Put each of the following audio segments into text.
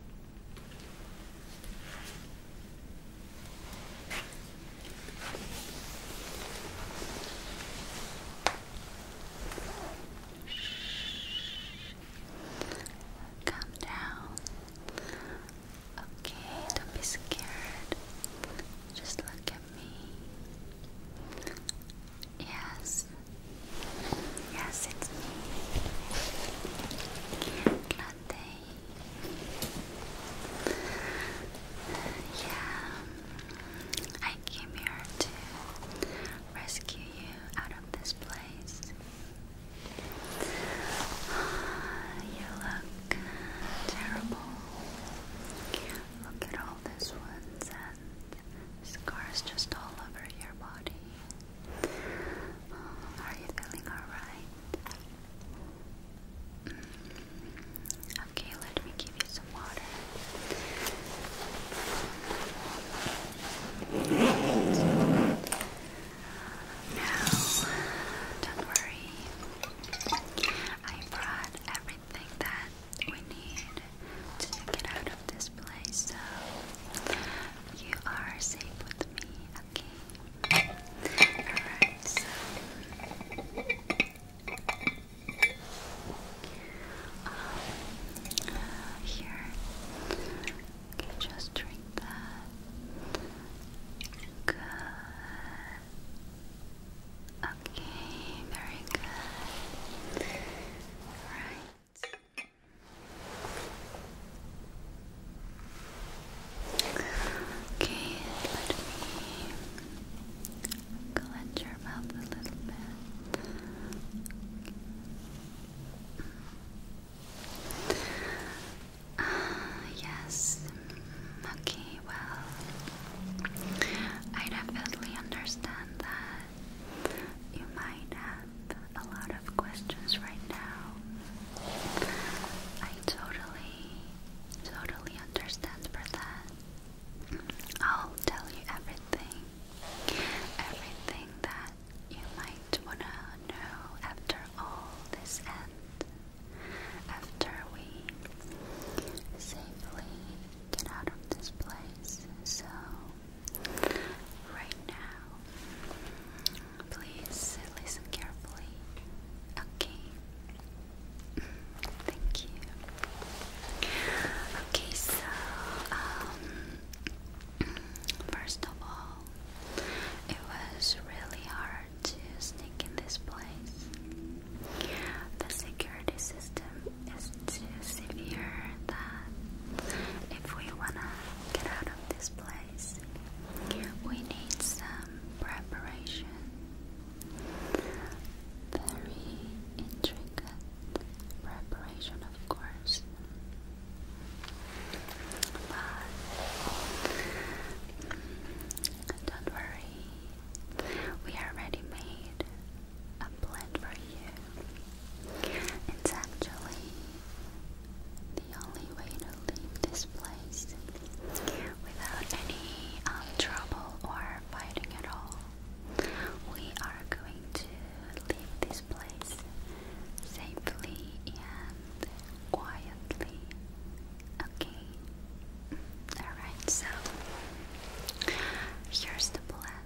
Calm down. Okay, don't be scared. Just look at me. Yes. Yes, it's me. Latte. Yeah, I came here to rescue you out of this place. You look terrible. Look at all these wounds and scars just all over your body. Oh, are you feeling alright? Mm. Okay, let me give you some water. Now, don't worry. I brought everything that we need to get out of this place, so you are safe with me. Okay. Alright, so um, here. just drink that. Good. Okay, very good. All right. Okay, let me clench your mouth a little bit. yes, okay, well, I definitely understand that you might have a lot of questions right now. I totally, totally understand, Bertha. I'll tell you everything. Everything that you might wanna know after all this end. After we safely get out of this place. So, right now, Please listen carefully. Okay. Mm, thank you. Okay, so um, mm, first of all, it was really hard to sneak in this place. The security system is too severe that if we wanna get out of this place we need some preparation. Very intricate preparation, of course. But don't worry, we already made a blend for you. It's actually the only way to leave this place without any um, trouble or fighting at all. We are going to leave this place safely and quietly. Okay. Alright, so here's the plan.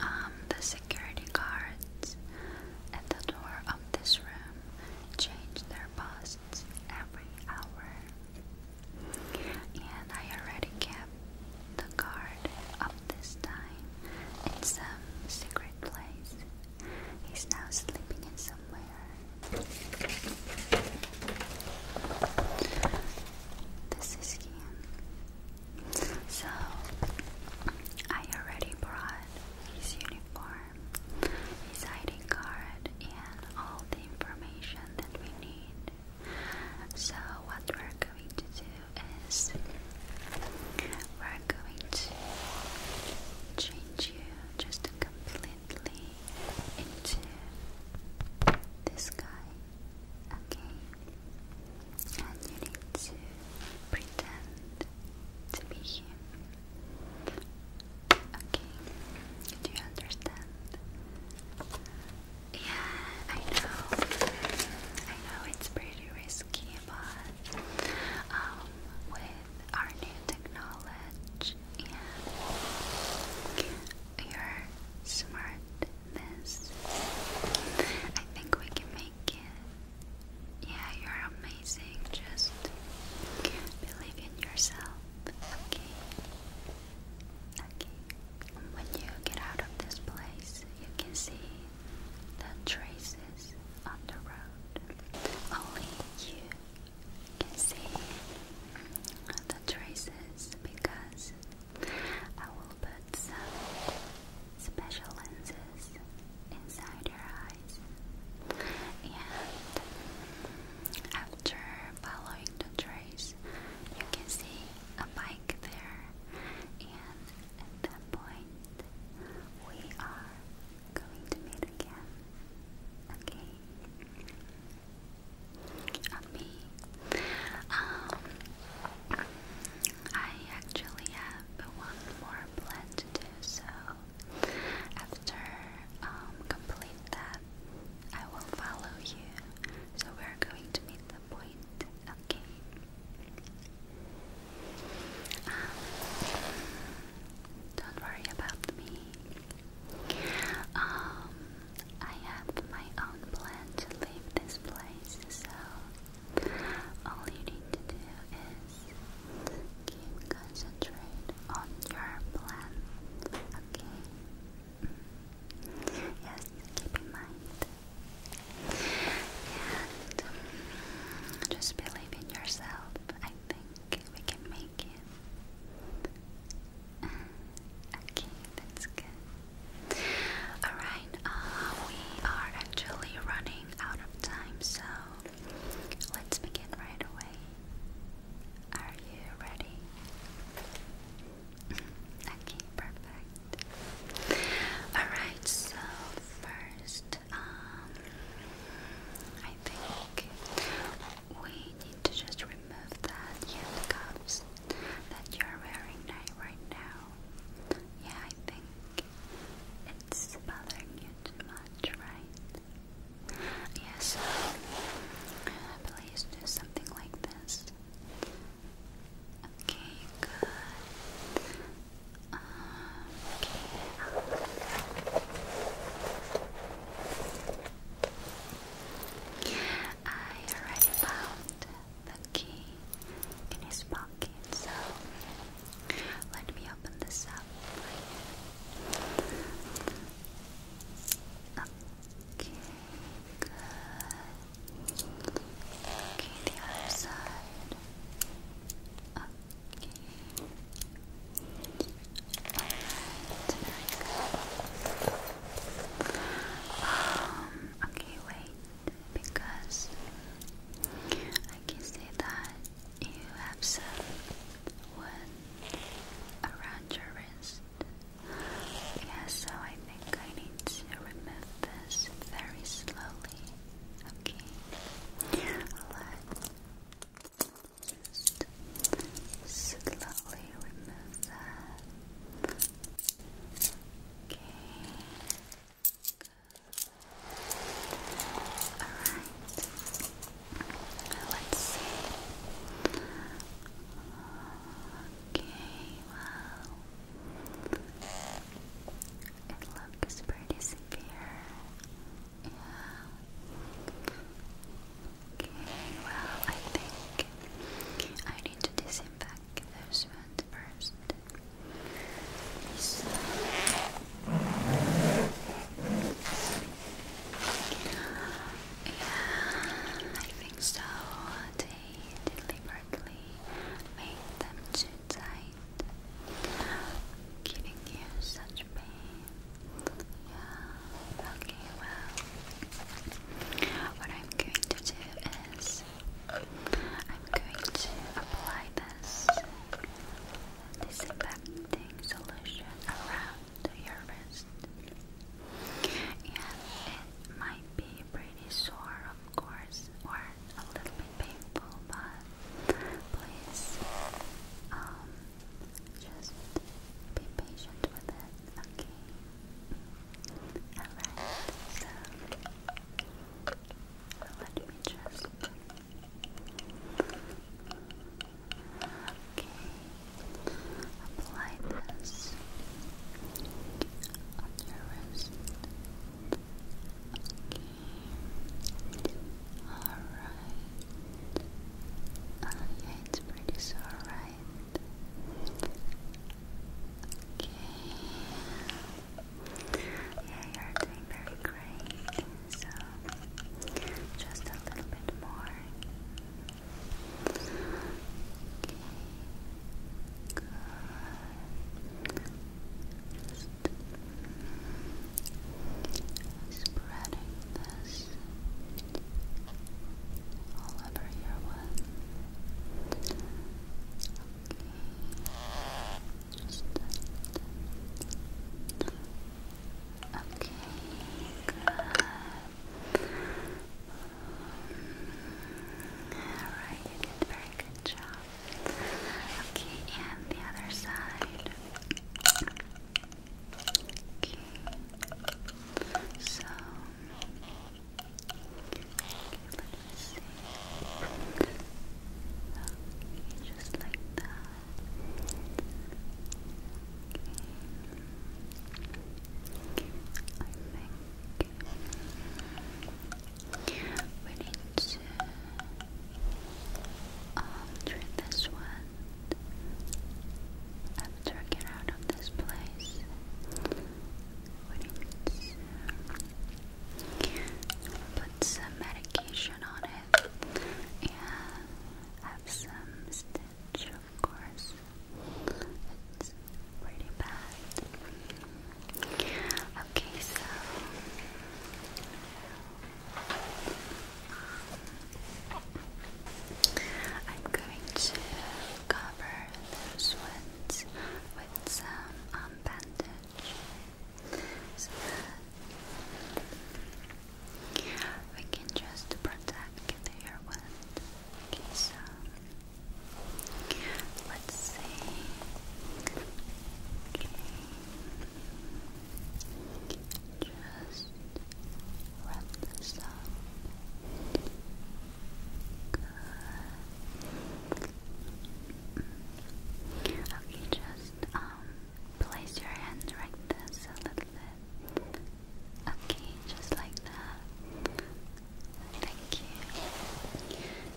Um, the security guards at the door of this room change their posts every hour. And I already kept the card of this time in some secret place. He's now sleeping in somewhere. This is him. So I already brought his uniform his ID card, and all the information that we need. So, what we're going to do is we're going to change you just completely into this guy, okay? And you need to pretend to be him. Okay, do you understand? Yeah, I know. I know it's pretty risky, but um, with our new technology and your smartness, I think we can make it yeah, you're amazing. Just believe in yourself. Okay. Okay. When you get out of this place, you can see the traces on the road. Only you can see the traces because I will put some special lenses inside your eyes. And after following the trace, you can see a bike there. And at that point, we are going to meet again. Okay. me. Um, I actually have one more plan to do, so after um, complete that, I will follow you. So we're going to meet the point again. Um, don't worry about me. Um, I have my own plan to leave this place, so all you need to do is Keep concentrate on your plan. Okay. Mm. Yes, keep in mind. And just believe in yourself. I think we can make it. Okay, that's good. Alright, uh, we are actually running out of time, so Let's begin right away. Are you ready? okay, perfect. Alright, so first, um, I think we need to just remove that handcuffs that you're wearing now, right now. Yeah, I think it's bothering you too much, right? Yes, please do something like this. Okay, good. okay. I already found the key in his pocket, so let me open this up Okay, good. Okay, the other side. Okay. Alright, Um, okay, wait, because I can see that you have some one around your wrist. Yeah, so I think I need to remove this very slowly. Okay, let's slowly remove that. Okay. Alright. Let's see. Okay, well. It looks pretty severe. Yeah. Okay, well, I think I need to disinfect those ones first. I think so. They deliberately made them too tight, giving you such pain. Yeah. Okay. Well, what I'm going to do is I'm going to apply this disinfecting solution around your wrist. And it might be pretty sore, of course, or a little bit painful, but please um, just be patient with it, okay? Alright, so let me just. Okay. Apply this on your wrist. Okay. Alright. yeah, it's pretty sore, right? Okay. Yeah, you're doing very great. So just a little bit more. Okay. Good. Just spreading this all over your one. Okay. Just Okay, good. Alright, very good job. Okay, and the other side. Okay. So let me see. just like that think we need to treat this one after I get out of this place. We need to uh, put some medication on it and have some stitch, of course. It's pretty bad. Okay, so I'm going to cover those ones with some um, bandage we can just protect the air Okay, so let's see. Just wrap this up. Okay, just um place your hand like this a little bit. Okay, just like that. Thank you. And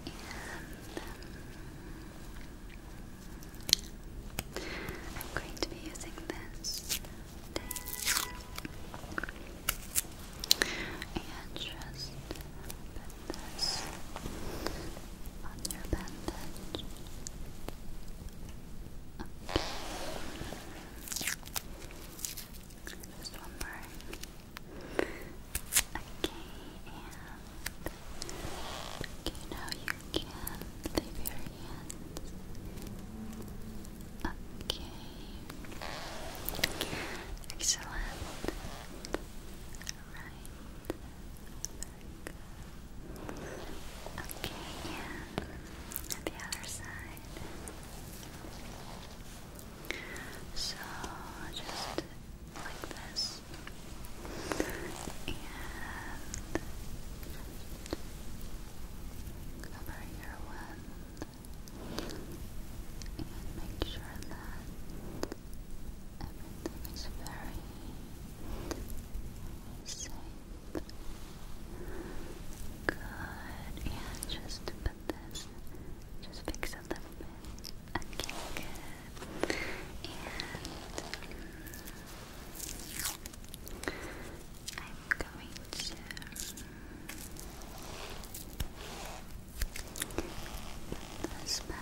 um, I'm going to be using this And just put this on your bandage. Just one more. Okay, and okay, now you can leave your hands. Okay, excellent. Right, very Okay, and the other side. So just like this, and cover your one, and make sure that everything is very safe. Good. And just put this, just fix a little bit. Okay, And I'm going to put this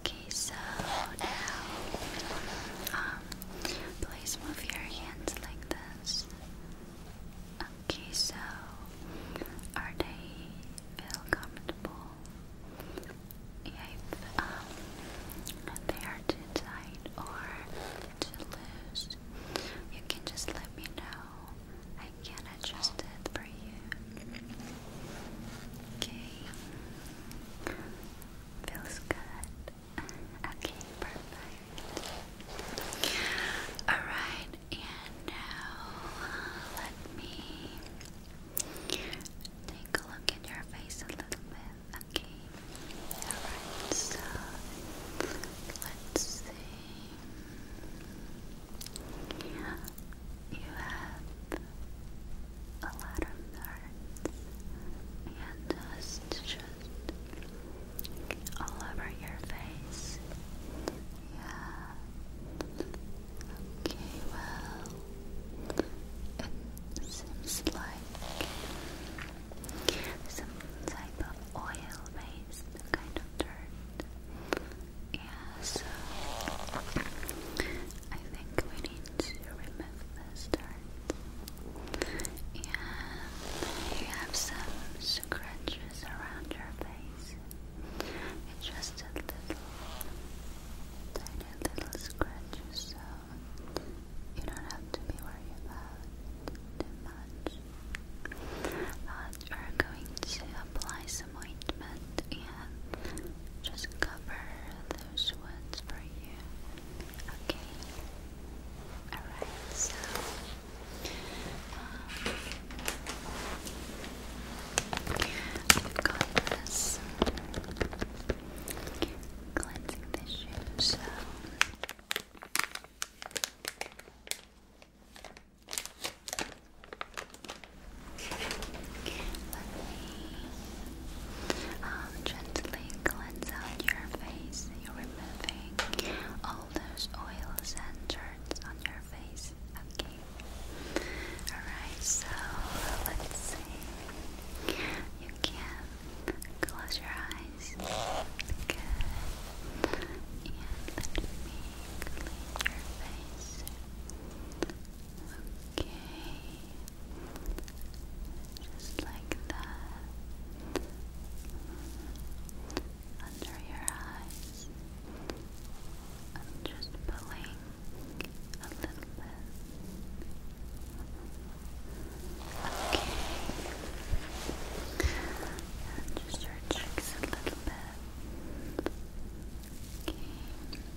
Okay, so now, um, please move your hands like this. Okay, so are they feel comfortable? Yeah, um, they are too tight or too loose, you can just let me know can adjust it for you. Okay. Feels good. Okay, perfect. Alright, and now let me take a look at your face a little bit. Okay. Alright, so let's see. Yeah, you have a lot of nerves and dust just all over your face. Yeah. Okay, well, it seems like some type of oil based kind of dirt. Yeah, so I think we need to remove this dirt. And you have some scratches around your face. It's just a little, tiny little scratches, so you don't have to be worried about too much. But we're going to apply some ointment and can just cover those ones for you. Okay. Alright, so um, have got this cleansing tissue, so let me um, gently cleanse out your face. You're removing all those oils and dirt on your face. Okay. Alright, so let's see. You can close your eyes. Good. And let me clean your face. Okay. Just like that. Under your eyes. just pulling a little bit. Okay. And just your cheeks a little bit. Okay.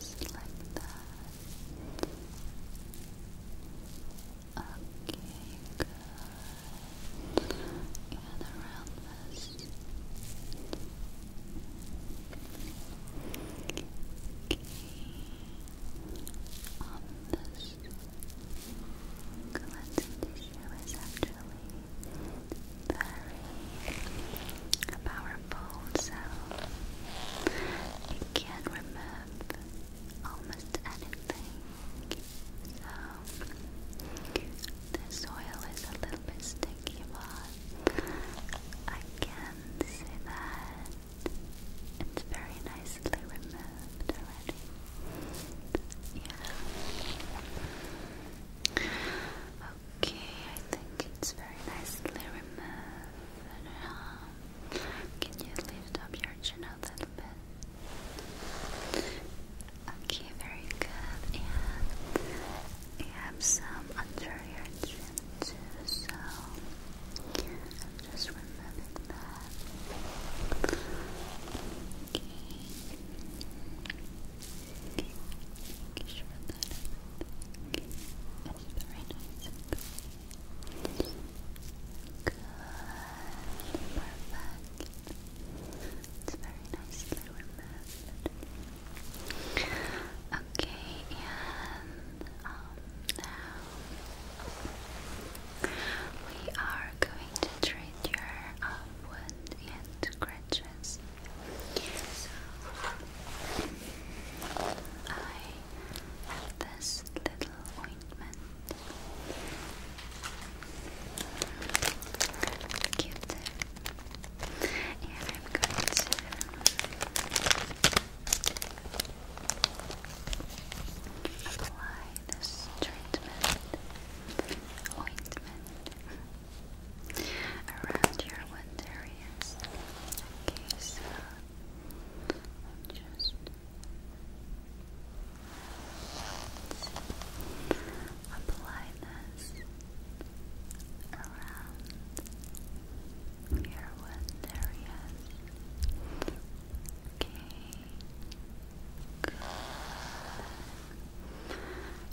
Just like that. Okay, good. And around this. Okay. On this cleansing tissue is actually very powerful, so it can remove almost anything. So the soil is a little bit sticky, but I can see that it's very nicely removed Yeah. Okay, I think it's very nicely removed. Um, can you lift up your chin a little bit? Okay, very good. And have some under your chin too, so just removing that. Okay. Sure that it's very nice and good. Perfect. It's very nicely removed. Okay, and um, we are going to treat your um, and scratches so, I have this little ointment. Cute. And I'm going to apply this treatment ointment around your wound areas. Okay, so just apply this around your wound areas. Okay.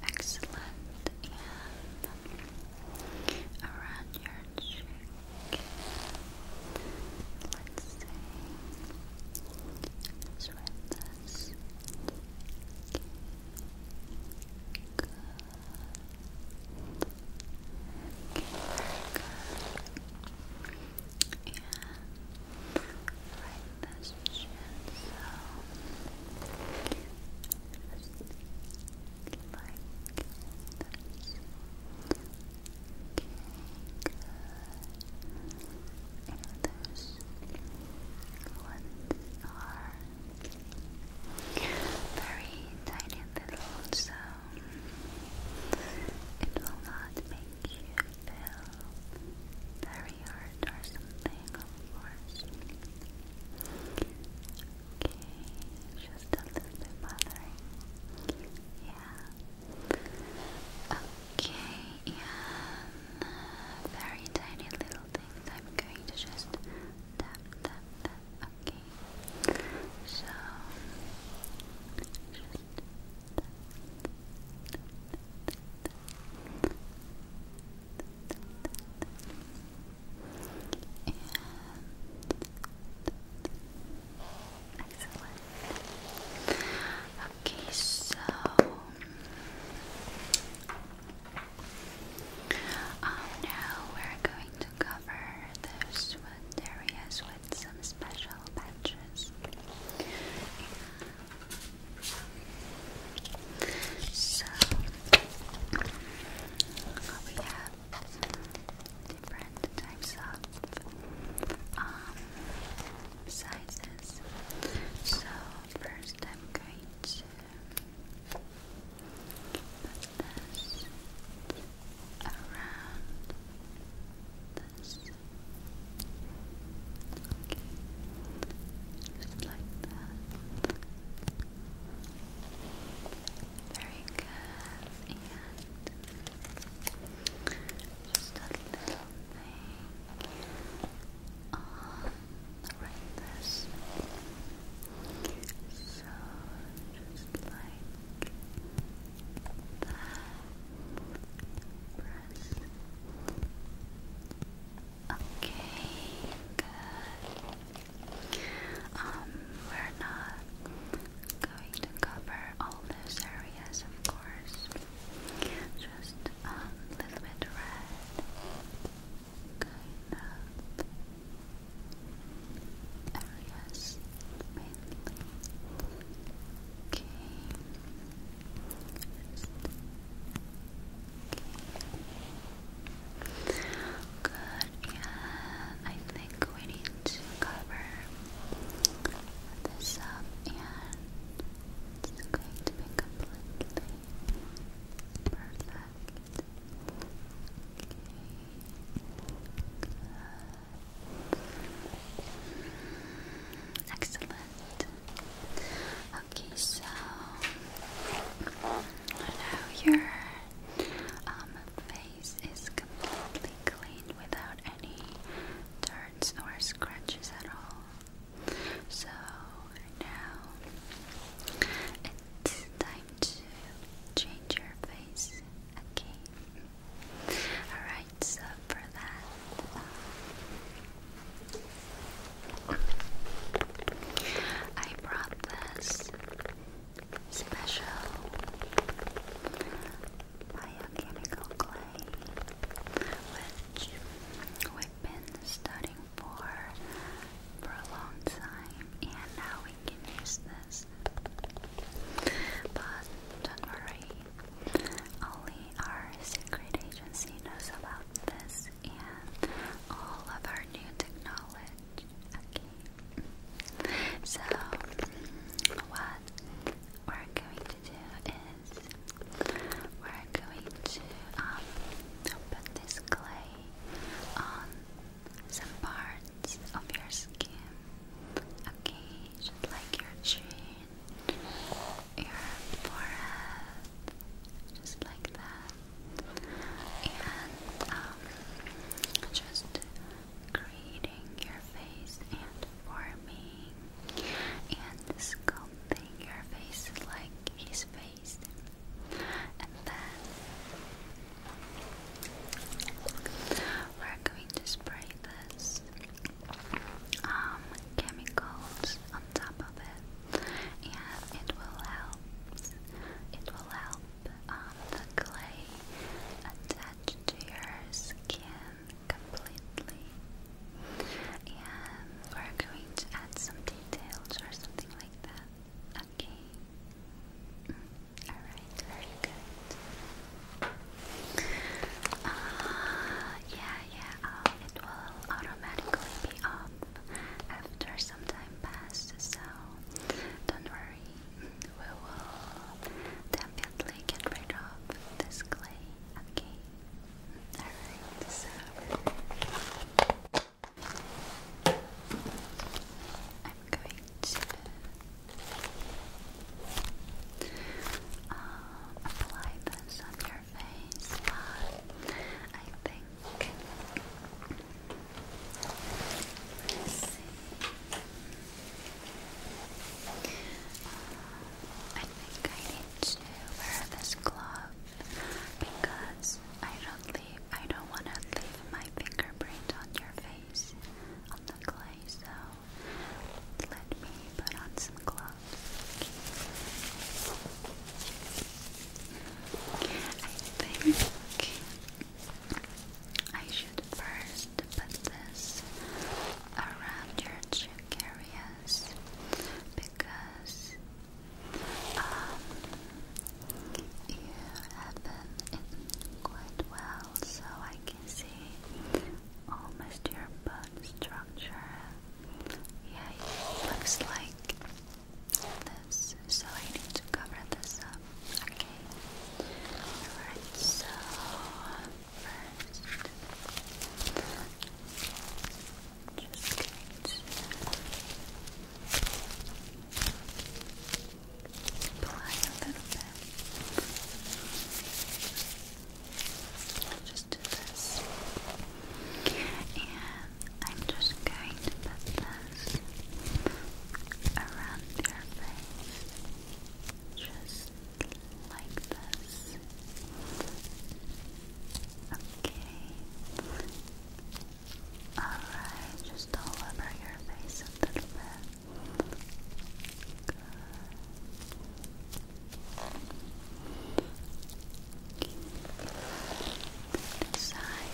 Excellent. And around your cheek. Let's see. let this. Good. good. And right this chin, so are very tiny little, so it will not make you feel very hurt or something, of course. Okay, just a little bit Yeah. Okay, and very tiny little things. I'm going to just tap, tap, tap. Okay. So, just tap, tap, tap, tap. And excellent. Okay, so now we're going to cover the sweat areas with some special patches. So we have different types of sizes. So first, I'm going to put this around this. Just like that. Very good. just a little thing on this. So just like that. Press. Okay, good. Um, we're not going to cover all those areas, of course. Just a little bit red, kind of areas Okay. Okay. Good, and I think we need to cover this up, and it's going to be completely perfect. Okay, Excellent. Okay, so now your um, face is completely clean without any turns or scratches at all. So now it's time to change your face. Okay. Alright, so for that. Um, I brought this special biochemical clay, which we've been studying for for a long time, and now we can use this. But don't worry, only our secret agency knows about this and all of our new technology. So, what we're going to do is we're going to um, put this clay on some parts of your skin. Okay, just like your chin, your forehead, just like that and um, just creating your face and forming and sculpting your face like his face, and then we're going to spray this um, chemicals on top of it, and it will help. It will help um, the clay attached to your skin completely. And we're going to add some details or something like that. Okay. Mm, alright, very good. Uh, yeah, yeah, um, it will automatically be off after some time passes, so don't worry, we will definitely get rid of this clay, okay? Alright, so I'm going to uh, apply this on your face, but I think Okay. let I think I need to wear this glove because I don't leave I don't want to leave my fingerprint on your face on the clay, so let me put on some gloves. Okay. I I should first put this around your cheek areas because um, you have been quite well, so I can see almost your bone structure. Yeah, looks like this, so I need to cover this up. Okay. Alright, so first, just apply a little bit. Just do this. And I'm just going to put the mass around your face, just like this. Okay. Alright, just all over your face a little bit. Good. Side.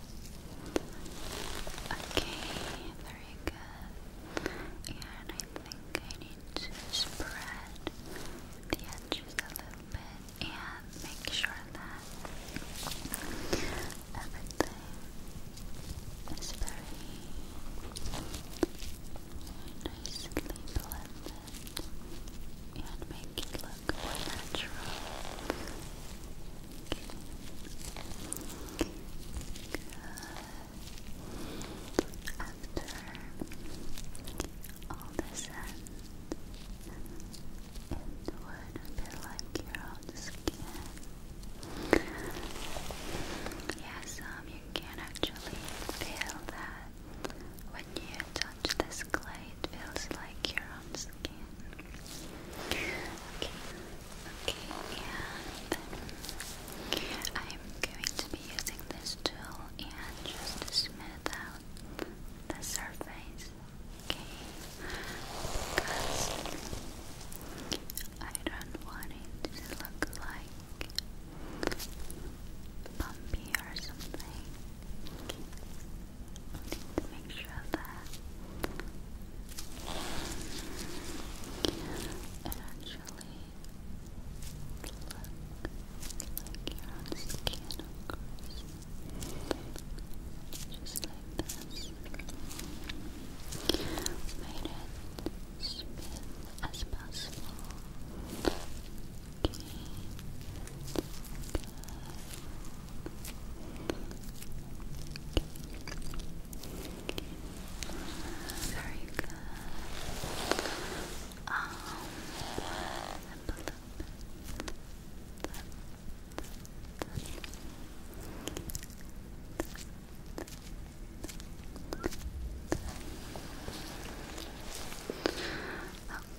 Okay, very good. And I think I need to spread the edges a little bit and make sure that everything is very nicely blended and make it look natural all this end, it would be like your own skin. Yes, um, you can actually feel that when you touch this clay, it feels like your own skin. Okay. Okay, and I'm going to be using this tool and just smooth out the surface. Okay. Because I don't want it to look like bumpy or something to make sure that it actually looks like your skin, of course. Just like this. Made it smooth as possible. Okay. Very good. Um,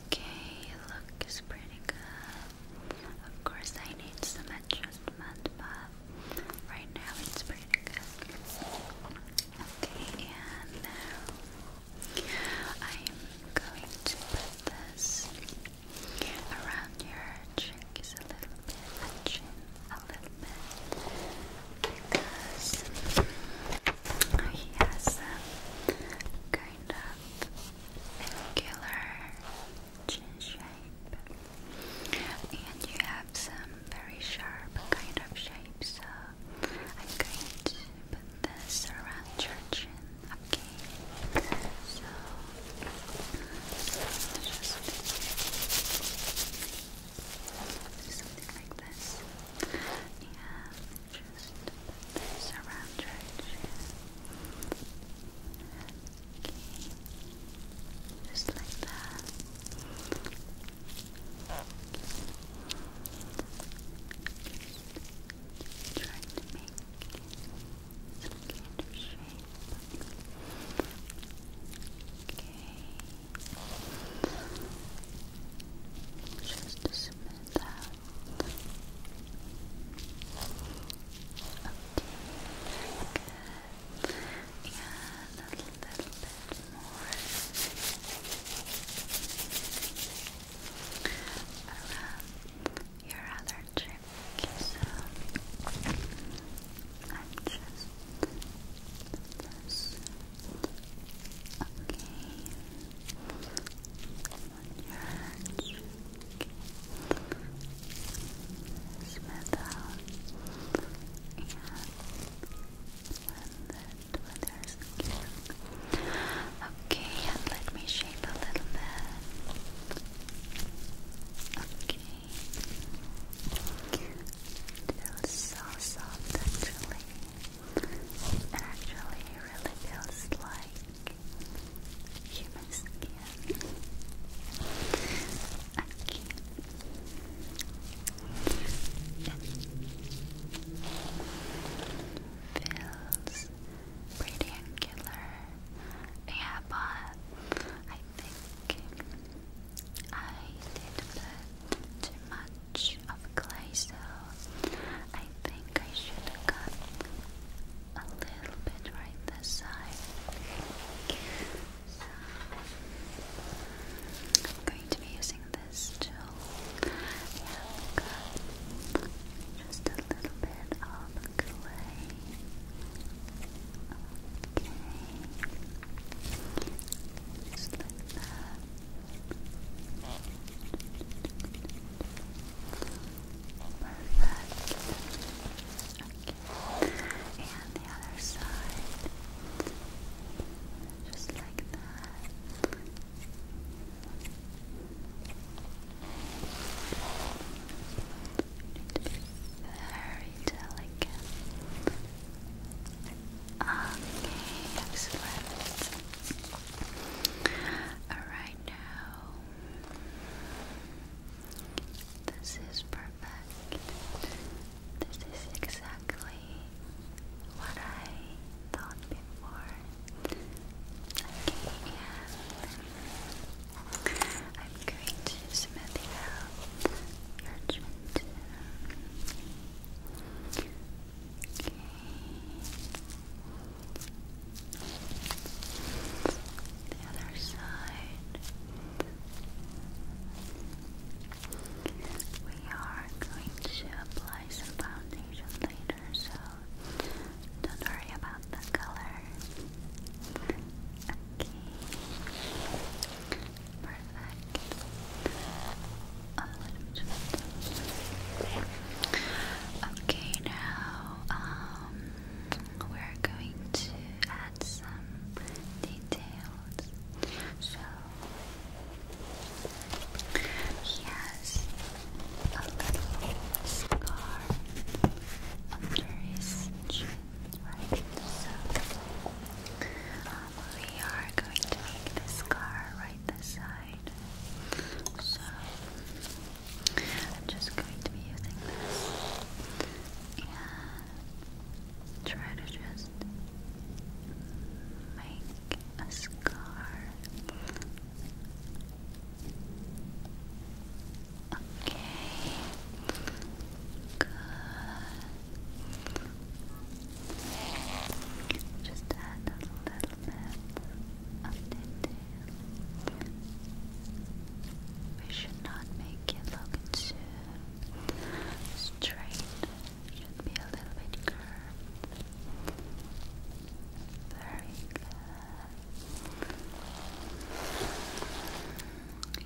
okay, look is pretty good. Of course, I need some adjustment, but right now it's pretty good. Okay, and now I'm going to put this around your cheeks a little bit, and a little bit, because he has some kind of angular chin shape, and you have some very sharp kind of shape. So I'm going to put this around your chin. Okay, so just something like this. Yeah, just around your chin. Just like that. Just to make some kind of shape. Okay. Just to submit that. Okay bit and a little, bit more around your other cheek. So I'm just this. Okay. On your cheek. Smith out. And when the weather's good. Okay, and let me shape a little bit. Okay. feels so soft actually. It actually really feels like human skin. Okay. Feels pretty killer. Yeah, but I think I did too much of clay, so I think I should cut a little bit right this side. I'm going to be using this tool. just a little bit of clay. Okay. Just like that. Perfect and the other side, just like that. Very delicate. Okay, excellent. Alright now. This is perfect. This is exactly what I thought before. Okay, and I'm going to smooth out your chin Okay. The other side. We are going to apply some foundation later, so don't worry about the color. Okay. Perfect. Okay, now um, we're going to add some details. So he has a little scar under his chin, right? So um, we are going to make the scar right this side. So I'm just going to be using this. And try to just make a scar. Okay. Good. Just add a little bit of detail. We should not make it look too straight, should be a little bit curved. Very good.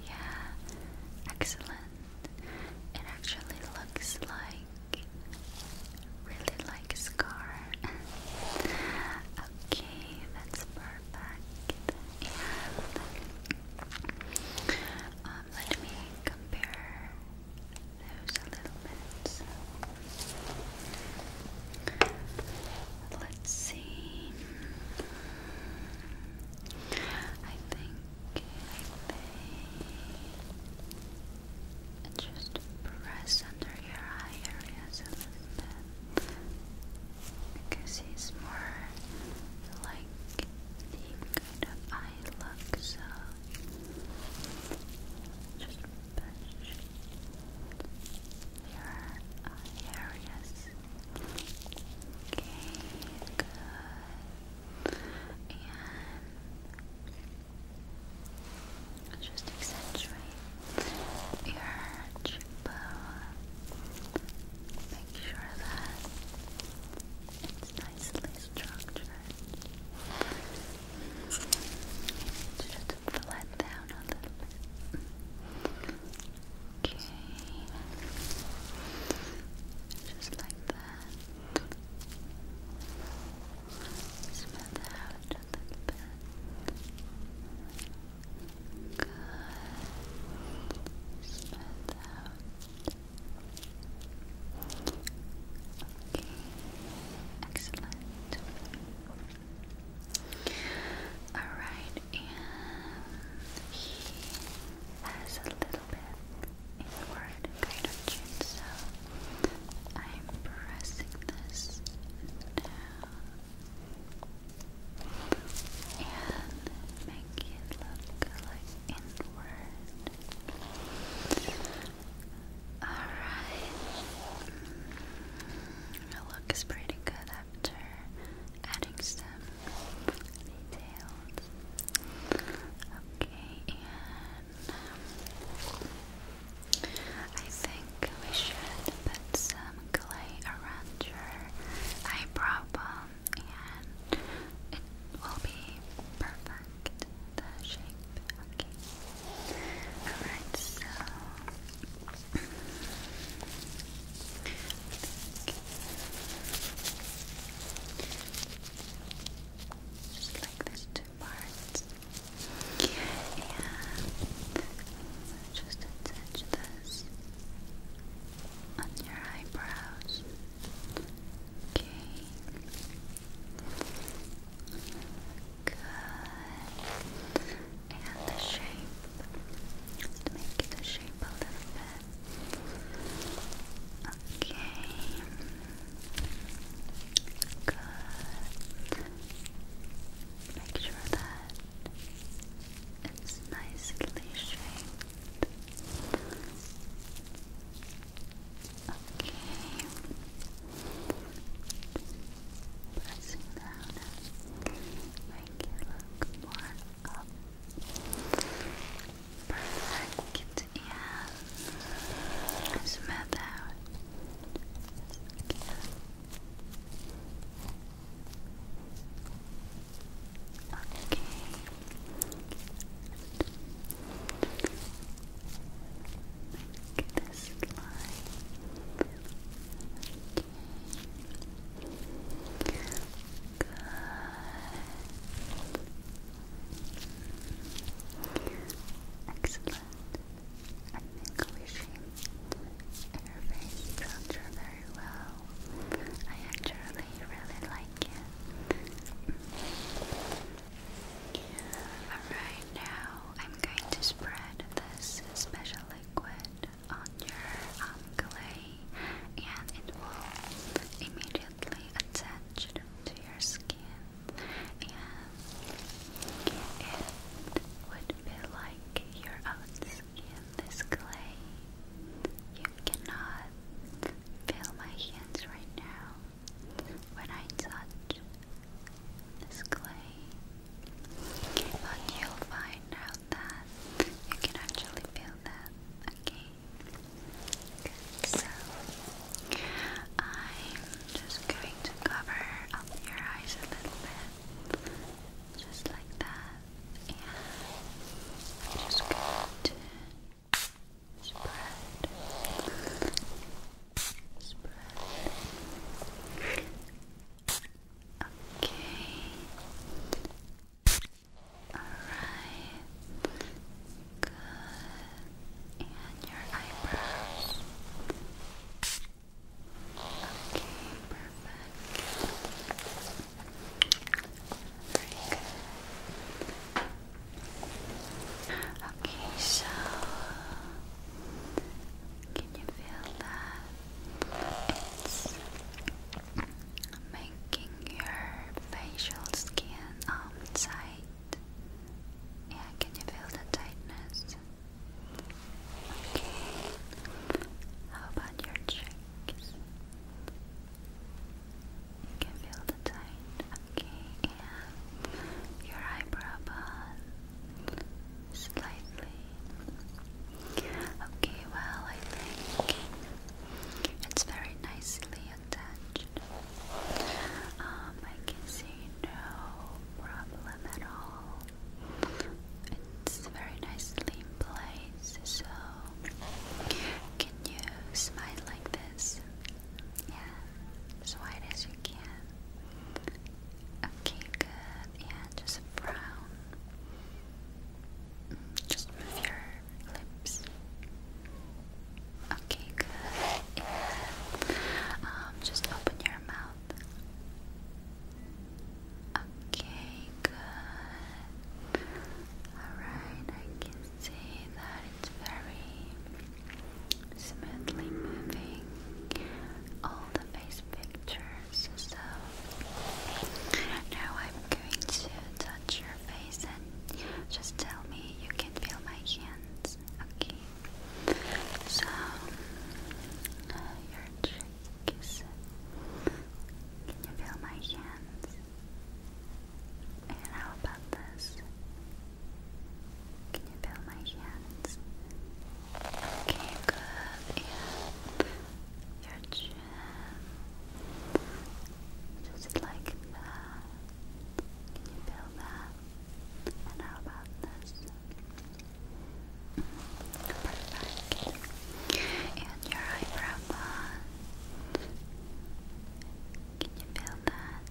Yeah, excellent. It actually looks like really like a scar. okay, that's perfect. And um, let me compare those a Let's see. I think I may just press under your eye areas a little bit because he's more like the kind of eye look, so just push your areas. Okay, good. And just accentuate your cheekbone Make sure that it's nicely structured. just flat down a little bit. Okay. Just like that. Smooth a little bit. Good. Smooth out. Okay. Excellent. Alright, and he has a little bit inward kind of chin, so I'm pressing this down and make it look like inward. Alright. It looks pretty good after adding some details. Okay, and um, I think we should put some clay around your eyebrow bone and it will be perfect, the shape. Okay. Alright, so just like this two parts. And just attach this on your eyebrows. Okay. Good. And the shape. let make the shape a little bit. Okay. Good. Make sure that it's nicely shaped. Okay. Pressing down make it look more up. Perfect. Yeah. Smooth out. Okay. Make this line. Okay. Good. Excellent. I think we should interface each other well. I actually really like it. Mm. Alright, now I'm going to spread this special liquid on your um, clay and it will immediately attach to your skin and it would be like your own skin, this clay cannot feel my hands right now when I touch this clay, but you'll find out that you can actually feel that, okay? So, I'm just going to cover up your eyes a little bit, just like that and i just going to spread, spread. Okay. Alright. Good. And your eyebrows. Okay, perfect. Okay, so can you feel that it's making your facial skin um tight? Yeah, can you feel the tightness? Okay. How about your cheeks? You can feel the tone, okay, and your eyebrow bun slightly. Okay, well, I think it's very nicely attached. Um, I can see no problem at all. It's very nicely in place, so can you smile like this? Yeah, as wide as you can. Okay, good. Yeah, just brown. Mm, just move your lips. Okay, good. Yeah. Um, just open your mouth. Okay, good. Alright, I can see that it's very smoothly moving all the face pictures. So now I'm going to touch your face and just tell me you can feel my hands. Okay. So your cheek Can you feel my hands? And how about this? Can you feel my hands? Okay, good. And your chin. Just like that. Can you feel that? And how about this? Perfect. And your eyebrow bun. Can you feel that?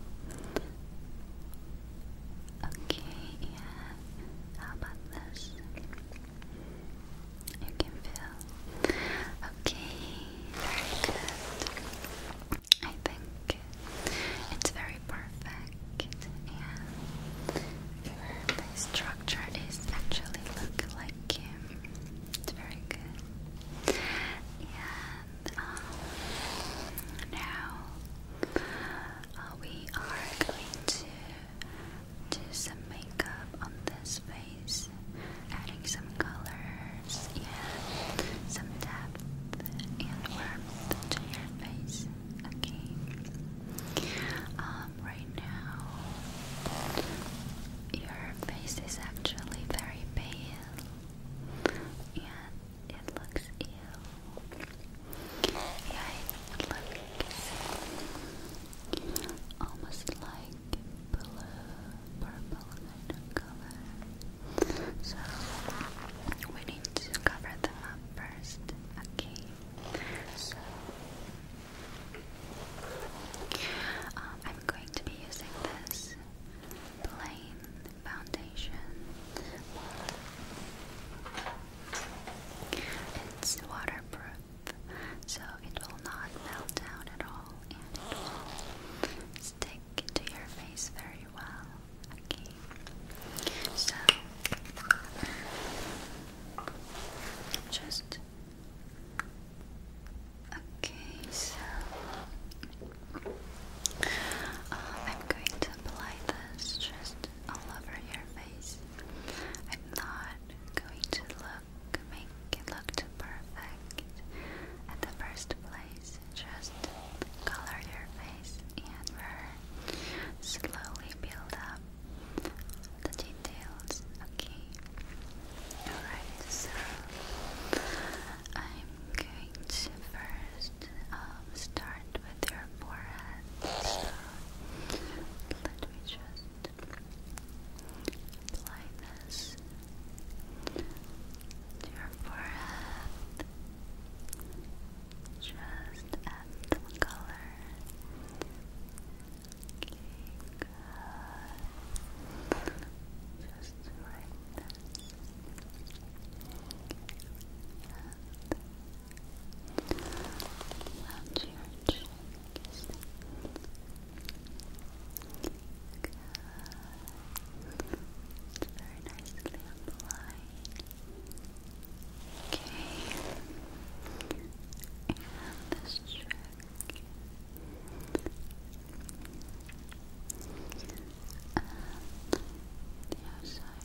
Okay, yeah. How about this? You can feel. Okay, very good. I think it's very perfect, and your structure is actually look like him. It's very good. And um, now uh, we are going to do some makeup on this face, adding some colors and some depth and warmth to your face. Okay. Um, right now, your face is actually very pale and it looks ill. Yeah, it looks almost like blue, purple kind of color. So we need to cover them up first. Okay. Um, I'm going to be using this plain foundation. It's waterproof, so it will not melt down at all and it will stick to your face very well. Okay, so just Okay, so oh, I'm going to apply this just all over your face. I'm not going to look make it look perfect at the first place. Just color your face and we slowly build up the details. Okay. Alright, so I'm going to first um, start with your forehead. let me just apply this to your forehead. Just add some color. good just right and round your it's very nicely applied okay and this cheek and the outside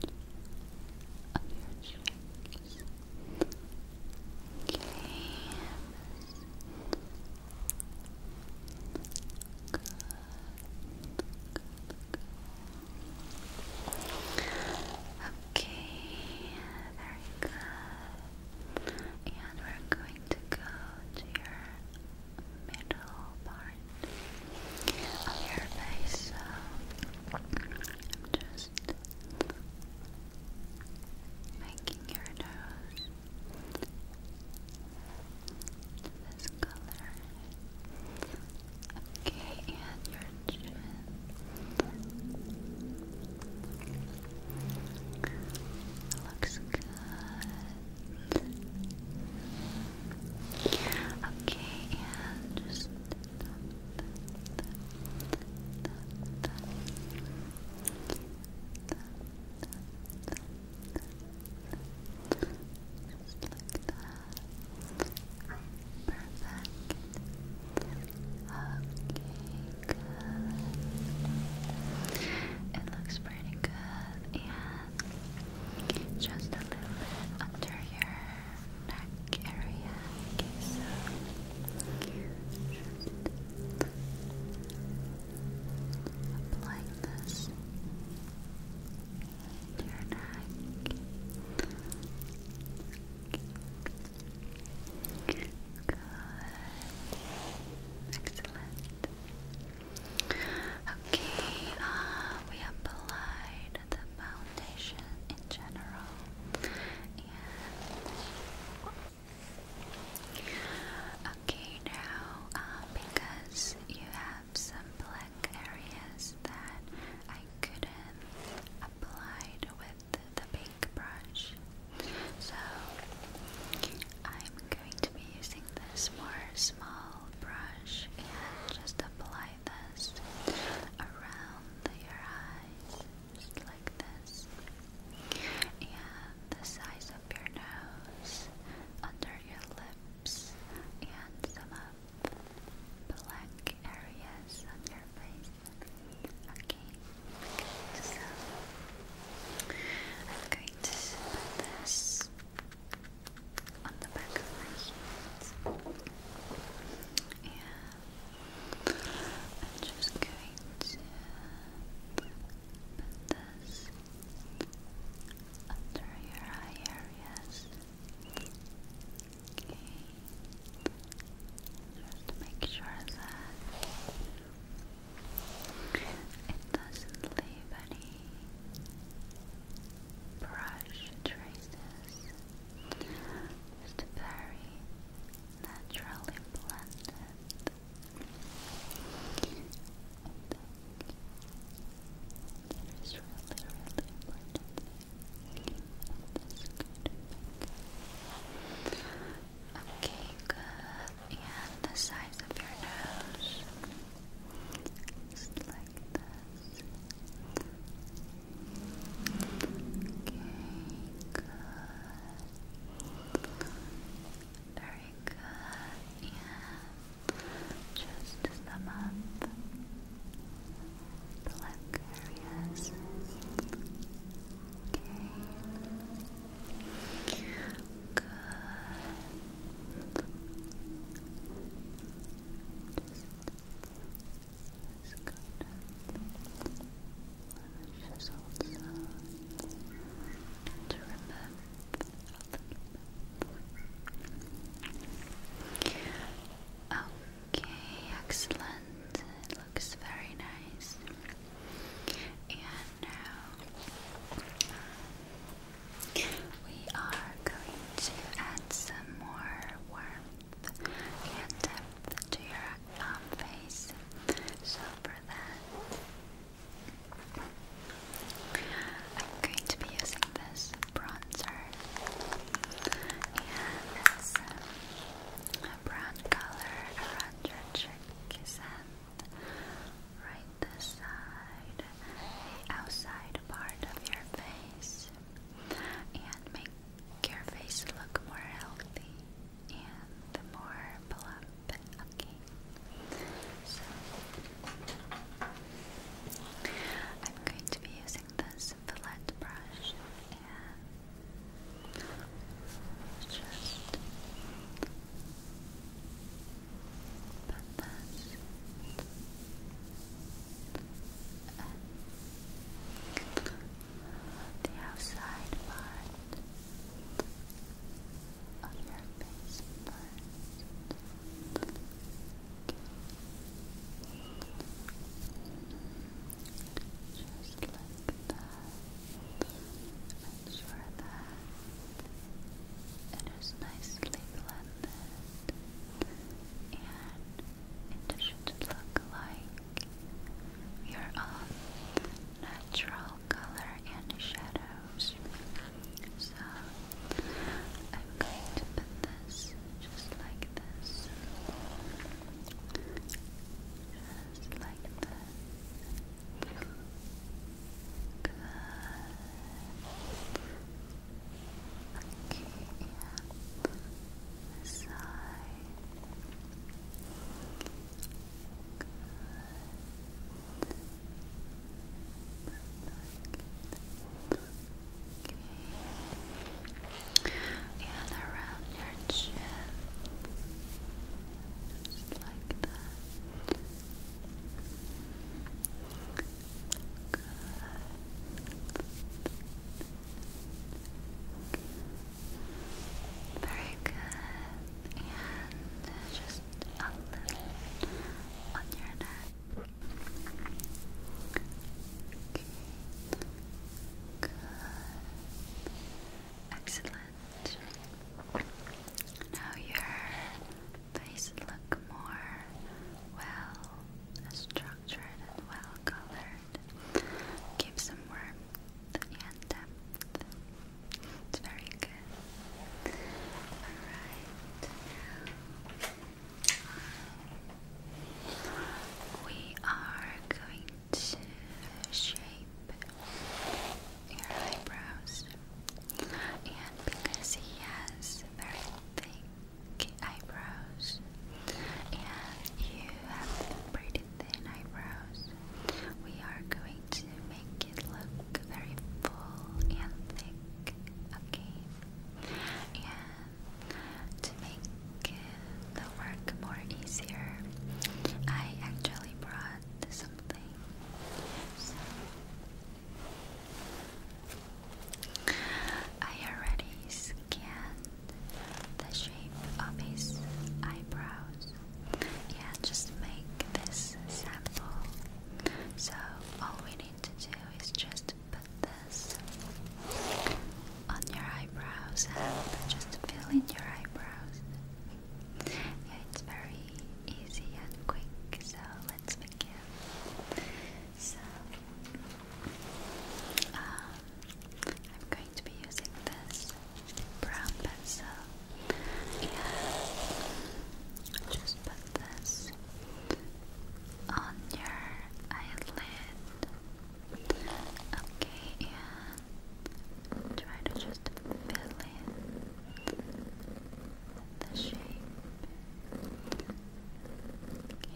Okay, good. Okay, very good. And we're going going to go to your middle part of your face. So just making your nose this color. Okay, and your chin. Looks good. Okay, and just just like that. Perfect. Okay good. It looks pretty good. And just a little under your neck area. Okay, so just applying this to your neck. Good. Excellent. Okay, uh, we applied the foundation in general, and okay now uh, because you have some black areas that I couldn't apply with the big brush, so I'm I'm going to be using this more small brush and just apply this around your eyes, just like this, and the size of your nose, under your lips, and some of black areas on your face. Okay. Good, so I'm going to put this on the back of my hand. Yeah. I'm just going to put this under your eye areas. Okay. Just make sure that it doesn't leave any brush traces. Just very naturally blended. it is really, really important Okay, good and the size of your nose. Just like this. Okay, good. Very good. Yeah. Just sum up black areas. Okay. Good. Just, Okay, excellent. It looks very nice. And now we are going to add some more warmth and depth to your um, face. So for that, I'm going to be using this bronzer. Yeah, it's a brown color around your cheeks right this side, the outside part of your face, and make your face look more healthy and more plump. Okay, so I'm going to be using this fillet brush and just but that's the outside part of your face Just like that much for that. It is nicely blended, and it should look like your own natural color and shadows. So I'm going to put this just like this. Just like this. Good. Okay, side. Good. Okay. And around your chin. Just like that. Very good. And just a little on your neck. Okay. Good. Excellent. Now your face look more well structured and well colored. Give some warmth and It's very good. Alright, we are going to shape your eyebrows, and because he has very thick eyebrows, and you have pretty thin eyebrows, we are going to make it look very full and thick, okay? And to make the work more easier, I actually brought something. So I already scanned the shape of his eyebrows Yeah, just make this sample. So all we need to do is just put this on your eyebrows and just fill in your eyebrows. Yeah, it's very easy and quick, so let's begin. So, um, I'm going to be using this brown pencil. just put this on your eyelid. Okay, and try to just just fill in the shape. Okay.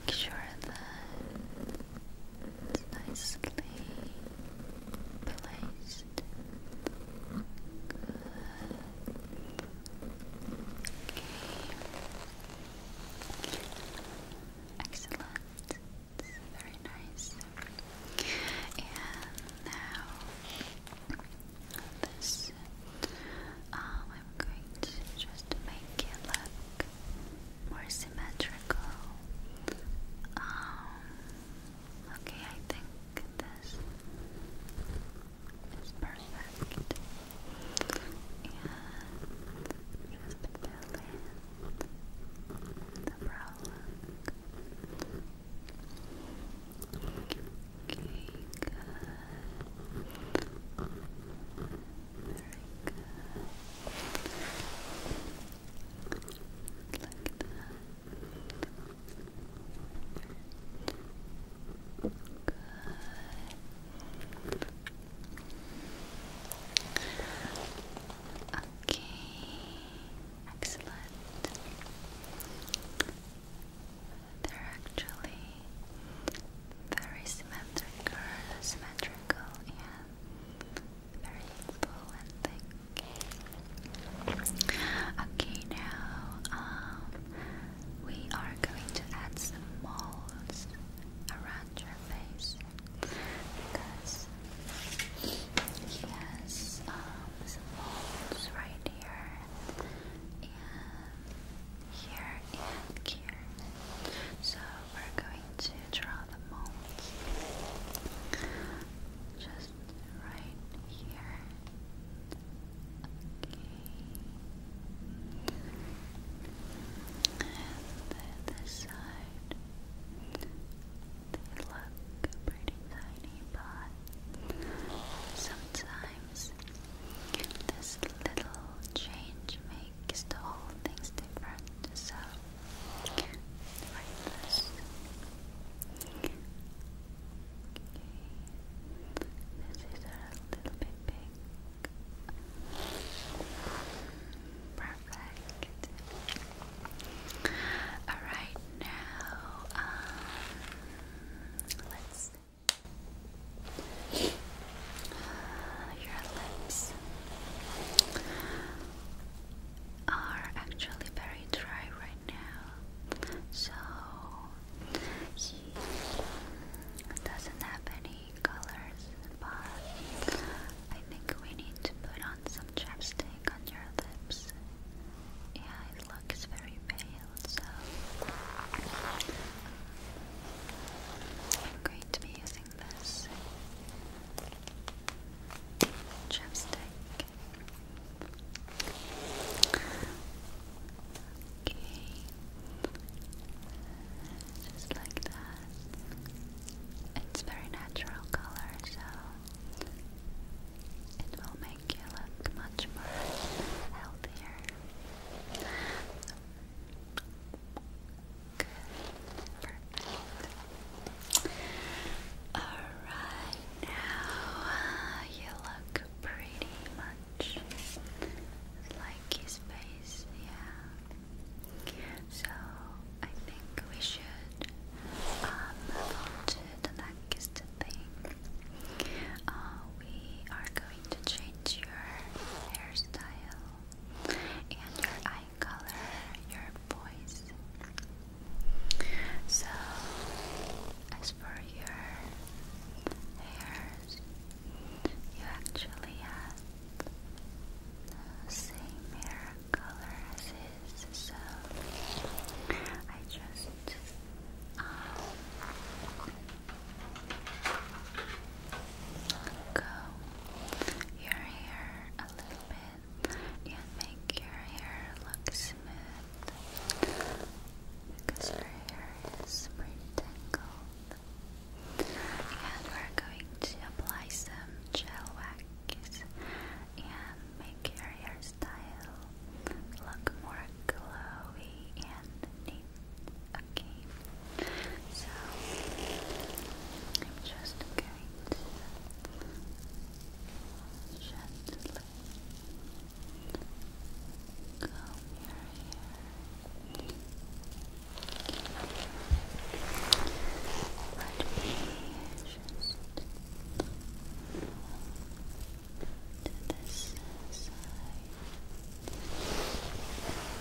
Make sure that it's nicely placed. Okay. Excellent. It's very nice. And now this um, I'm going to just make it look more symmetrical. Um, okay I think this is perfect. And just fill in the brow Okay, good. Very good. Like that. Good. Okay. Excellent. They're actually very symmetrical, symmetrical and very full and thick. Okay, now um, we are going to add some molds around your face because he has um, some right here, and here, and here. So we're going to draw the molds just right here. Okay. And then this side. They look pretty tiny, but sometimes this little change makes the whole things different. So, like this. this is a little bit big. Perfect it. Alright, now, um, let's. Your lips are actually very dry right now, so he doesn't have any colors. But I think we need to put some chapstick on your lips. Yeah, it looks very pale, so I'm going to be using this chapstick. Okay, just like that. It's very natural color, so it will make you look much more healthier. Good. Alright, now you look pretty much like his face, yeah. So I think we should um, blankest thing. Uh, we are going to change your hairstyle and your eye color, your voice. So, as for your hairs, you actually have the same hair colors is, so I just go your hair a little bit and make your hair look smooth because your hair is pretty tangled. And we're going to apply some gel wax and make your hair hairstyle look more glowy and neat. Okay, so I'm just going to gently comb your hair. Let me just to this side.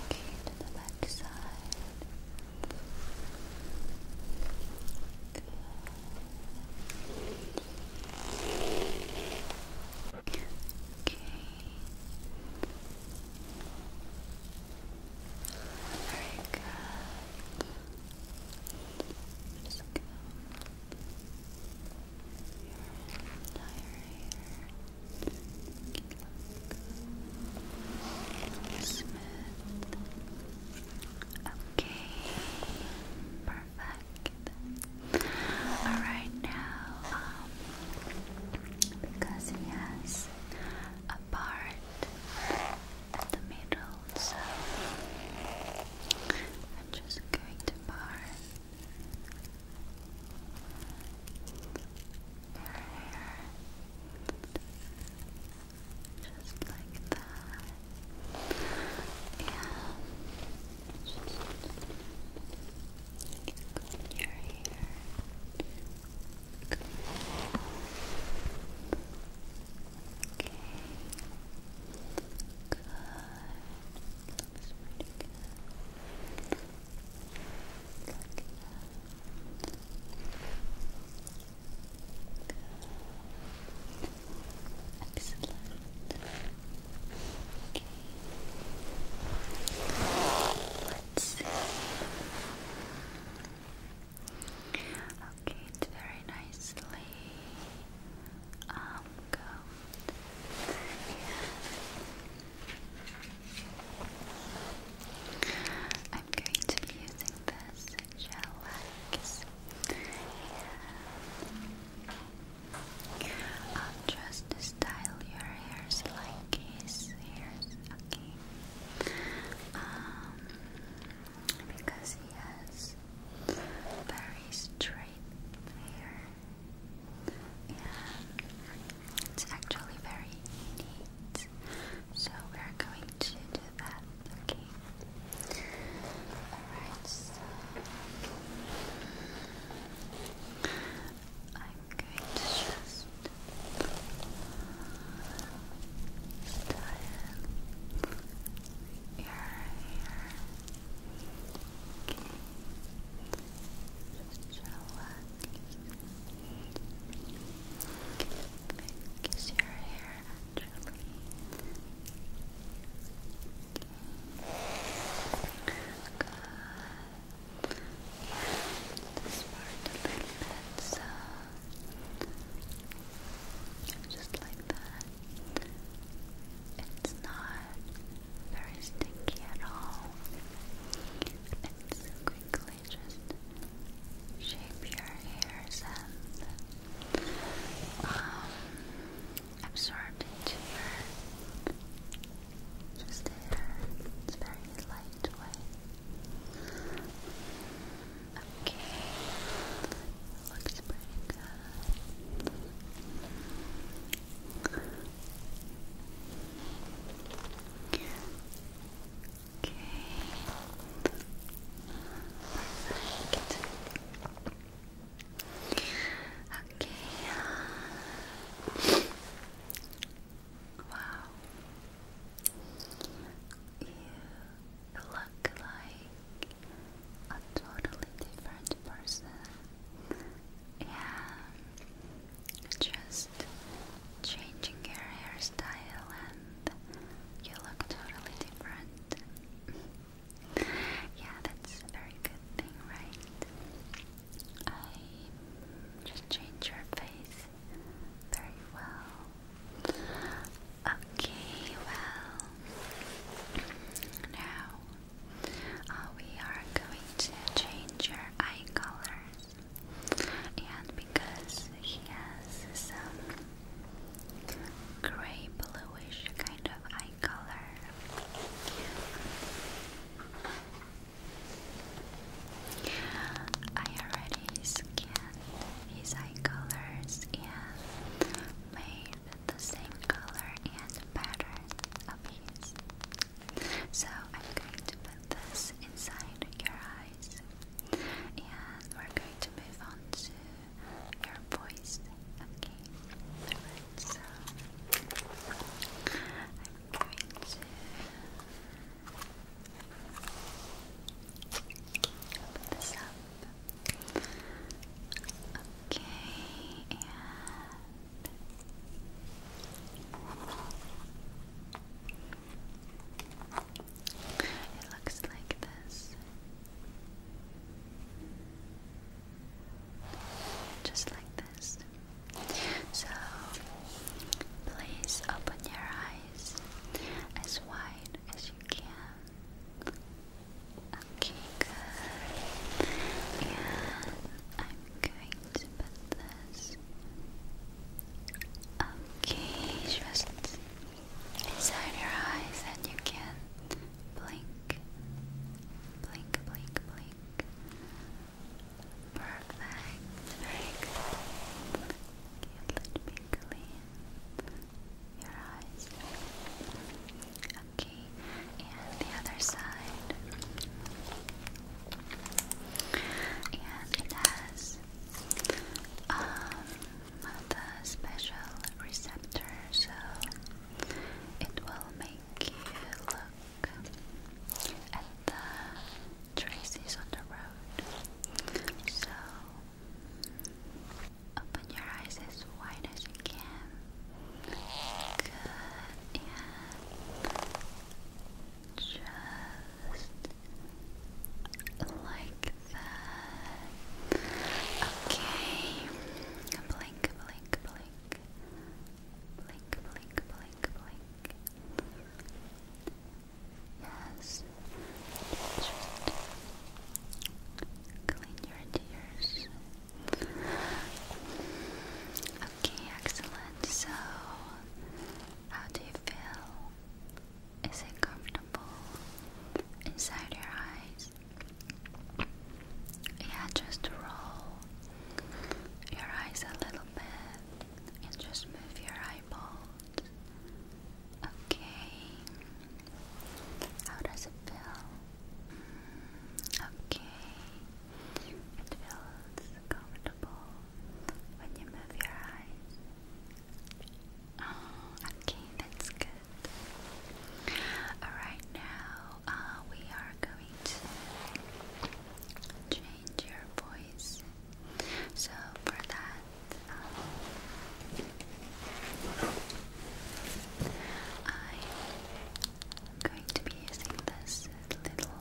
Okay, to the back side. Good. Okay. Very good. Just go Smooth. Okay. Perfect. Alright um, now, because he has a part the middle, so I'm just going to bar your hair just like that. And just comb your Okay. Good. Looks pretty good. Look Good. Excellent. Okay. Let's see locate very nicely. Um, I'm going to be using this gel wax. I'll just style your hairs like his hairs. Okay. Um, because he has very straight hair and it's actually very neat. So we're going to do that, okay? Alright, I'm going to just style your hair. Just relax. Okay. your hair actually? Good. Yeah, part a little bit, so just like that. It's not very sticky at all. It's quickly just shape your hairs and um, absorbed into your just hair. It's very lightweight. Okay. Looks Okay. Okay. Wow. You look like a totally different person. Yeah, just changing your hairstyle and you look totally different. yeah, that's a very good thing, right? I just change your face very well. Okay, well, now uh, we are going to change your eye colors, and because he has some gray bluish kind of eye color. I already scanned his eye colors and made the same color and pattern of So I'm going to put this inside your eyes and we're going to move on to your voice. Okay. Alright, so I'm going to Open this up. Okay, it looks like this. Just like this. So please open your eyes as wide as you can. Okay, good. And I'm going to put this. Okay, just inside your eyes, and you can blink, blink, blink, blink. Perfect. Very good. Okay, let me clean your eyes. Okay, and the other side. And it has um, the special receptor, so it will make you look at the traces on the road. So Open your eyes as wide as you can. Good. And just like that. Okay. Blink, blink, blink. Blink, blink, blink, blink. Yes. Just clean your tears. Okay, excellent. So, how do you feel? Is it comfortable inside your eyes? Yeah, just roll your eyes a little bit and just move your eyeballs. Okay. How does it feel? Mm, okay. It feels comfortable when you move your eyes. Oh, okay, that's good. Alright, now uh, we are going to change your voice. So, for that, um, I'm going to be using this little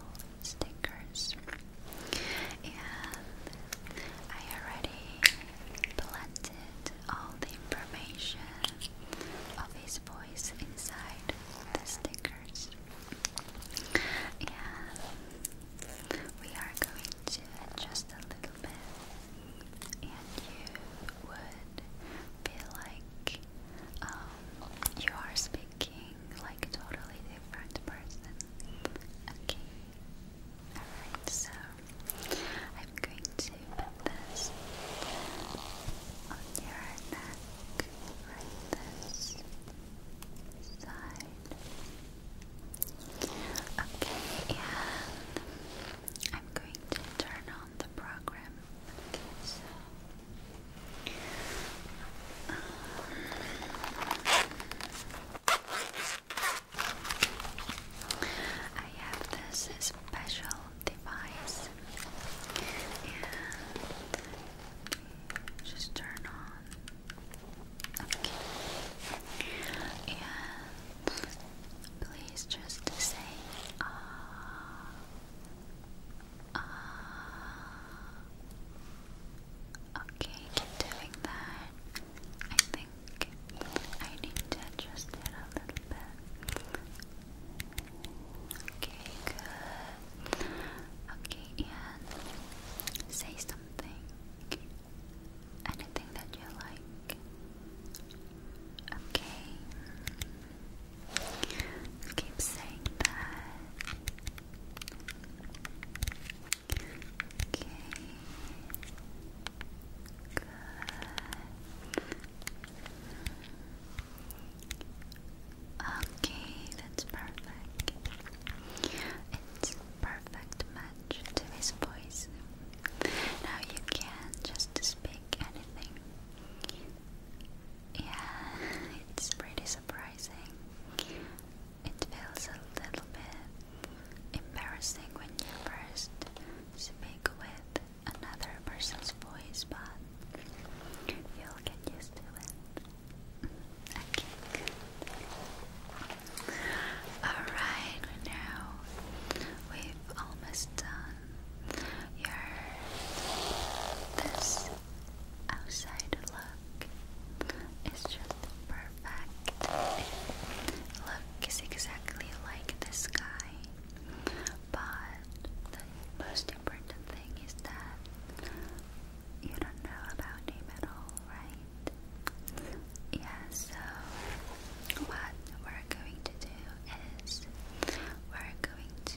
stickers and I already planted all the information of his voice inside the stickers and we are going to adjust a little bit and you would feel like um, you are speaking like a totally different person. Okay, alright, so I'm going to put this on your neck, right this side. Okay, and I'm going to turn on the program Okay, so I have this special device just turn on. Okay. And please just say uh, uh, okay, keep doing that. I think I need to adjust it a little bit. Okay, good. Okay, and say something. Anything that you like. Okay. Keep saying that. Okay. Good. Okay, that's perfect. It's perfect match to his voice. Now you can just speak anything. Yeah, it's pretty surprising. It feels a little bit embarrassing when you first speak with another person's voice, but you'll get used to it. Okay, Alright, now we've almost done your this outside look is just perfect. It looks exactly like the sky, but the most important thing is that you don't know about him at all, right? Yeah, so what we're going to do is we're going to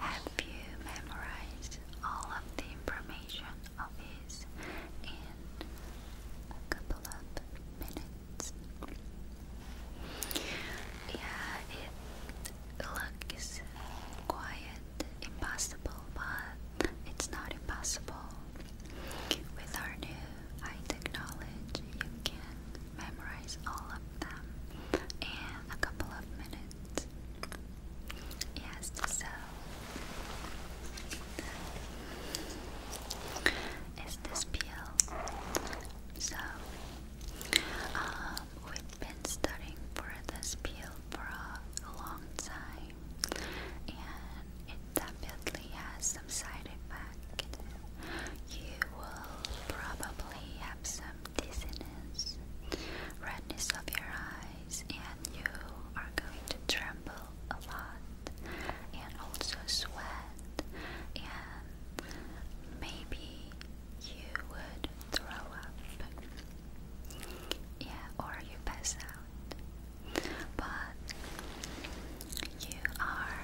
have you memorize all of the information of his in a couple of minutes. Yeah, it looks quiet, impossible, but it's not impossible. With our new eye technology, you can memorize all of them and a couple of minutes. Yes, so is this peel. So um, we've been studying for this peel for a long time and it definitely has some side effects you will probably have some dizziness, redness of your eyes, and you are going to tremble a lot and also sweat, and maybe you would throw up, yeah, or you pass out. But you are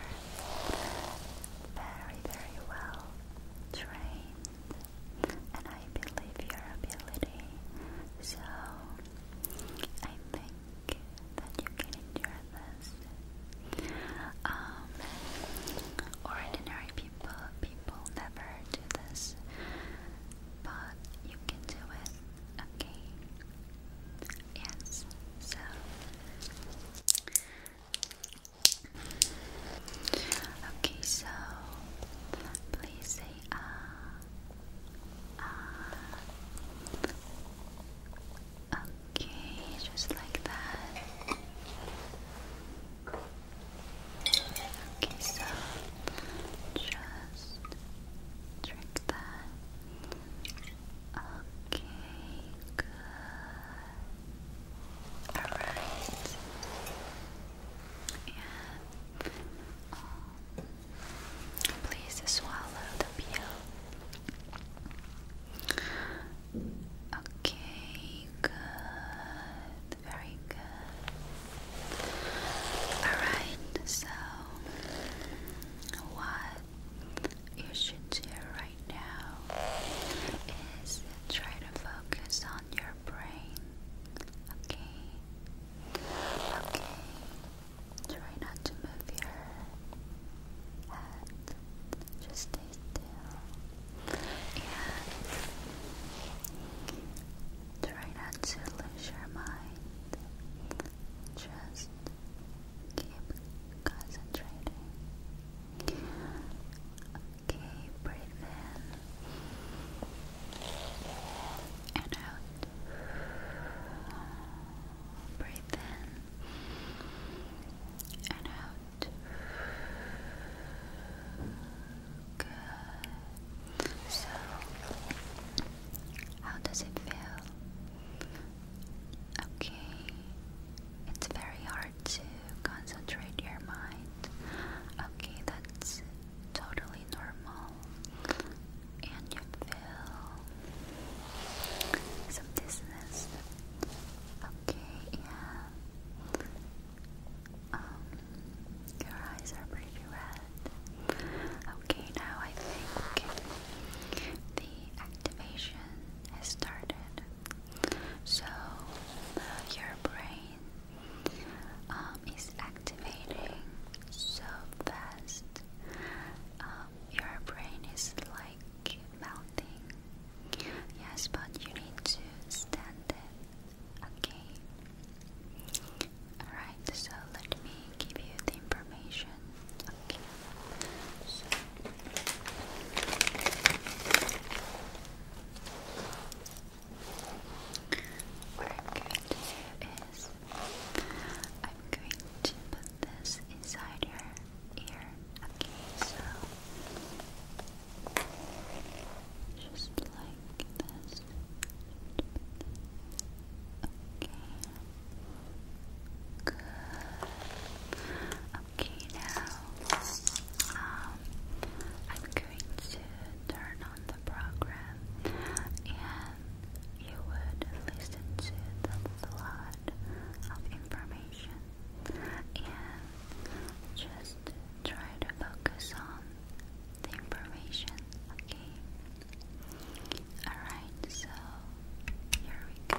very, very well trained and I believe your ability. So I think that you can endure this. Um, ordinary people people never do this, but you can do it. Okay. Yes. So Okay, so please say ah, ah. Okay, just like that. Okay, so just drink that. Okay, good. Alright. And um, please swallow the pill. Okay, good. Very good. Alright, so what you should do right now is Try to focus on your brain. Okay. Okay. Try not to move your head. Just stay still. And try not to lose your mind. Just keep concentrating. Okay, breathe in and out. Breathe in and out. Good. So, how does it feel? Okay. It's very hard to concentrate your mind. Okay, that's totally normal. And you feel some dizziness. Okay, yeah. Um, your eyes are pretty red. Okay, now I think the activation has started. So your brain um, is activating so fast. Um, your brain is like melting. Yes, but you need to stand it. Okay. Alright, so let me give you the information. Okay. What i I'm going to put this inside your ear. Okay, so just like this. Okay. Good. Okay, now um, I'm going to turn on the program and you would listen to the flood of information and just try to focus on the information, okay? Alright, so here we go.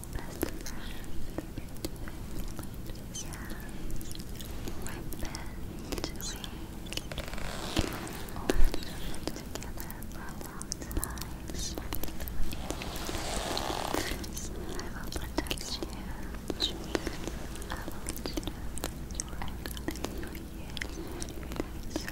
best friends. Yeah. My best we all lived together for a long time. I will protect you. I will do everything for you. So,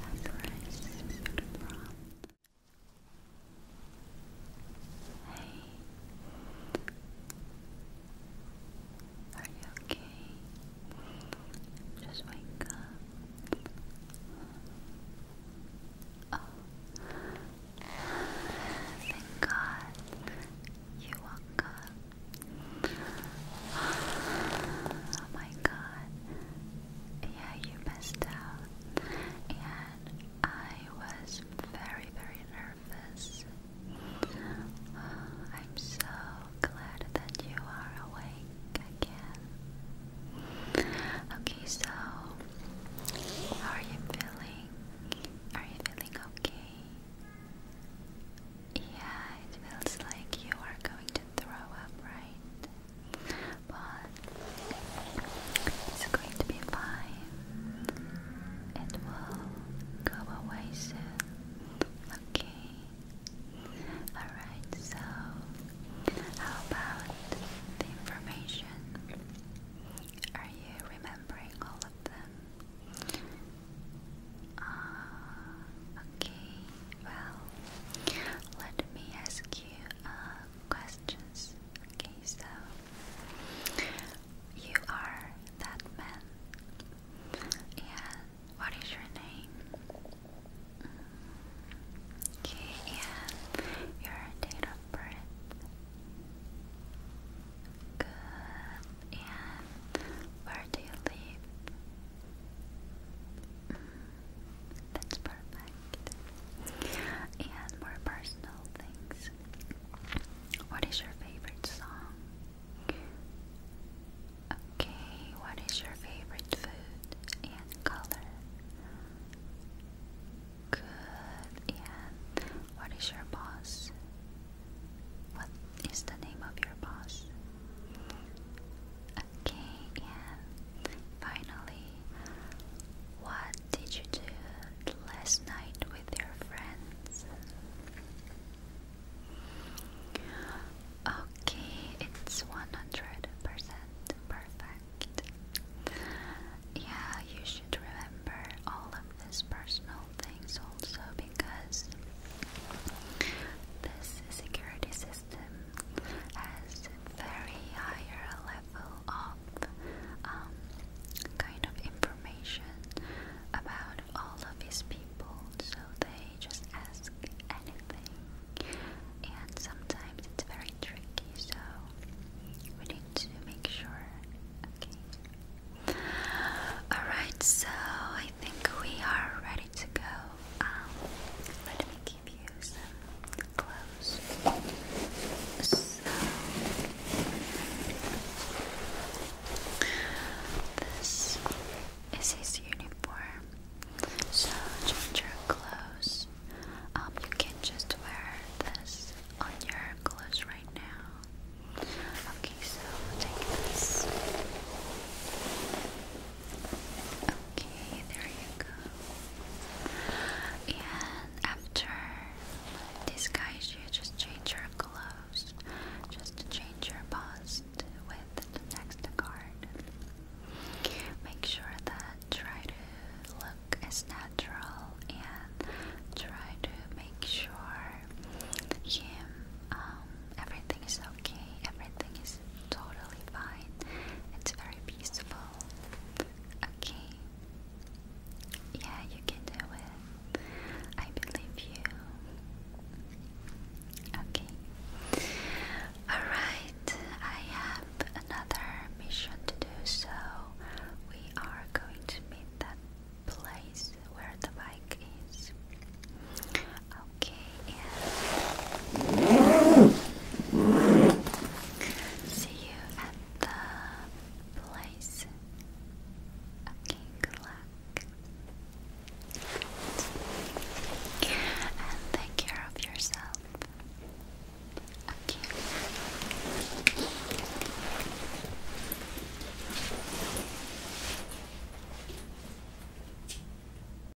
Hey, are you okay? Just wake up. Oh, thank God you woke up. Oh my god. Yeah, you missed out. And I was very, very nervous. Oh, I'm so glad that you are awake again. Okay, so how are you feeling? Are you feeling okay? Yeah, it feels like you are going to throw up, right? But it's going to be fine. It will go away soon. Okay. Alright, so how about the information? Are you remembering all of them? Uh, okay, well, let me ask you uh, questions. Okay, so you are that man, and what is your name? Okay, and your date of birth. Good. And where do you live? Mm. That's perfect. And more personal things. What is your favorite song? Okay, what is your favorite food and color? Good. And what is your boss? What is the name of your boss? Okay, and finally, what did you do last night with your friends? Okay, it's 100% perfect. Yeah, you should remember all of these personal things also because this security system has very higher level of um, kind of information about all of his people, so they just ask anything, and sometimes it's very tricky. So we need to make sure. Okay. Alright, so I think we are ready to go. Um, let me give you some clothes. So, this is his uniform. So, change your clothes. Um, you can just wear this on your clothes right now. Okay, so take this. Okay, there you go. And after this guy, you just change your clothes, just to change your bust with the next card. Make sure that try to look as natural and try to make sure him um, everything is okay, everything is totally fine. It's very peaceful. Okay. Yeah, you can do it. I believe you. Okay. Alright, I have another mission to do, so we are going to meet that place where the bike is. Okay, and see you at the place. Okay, And take care of yourself. Okay.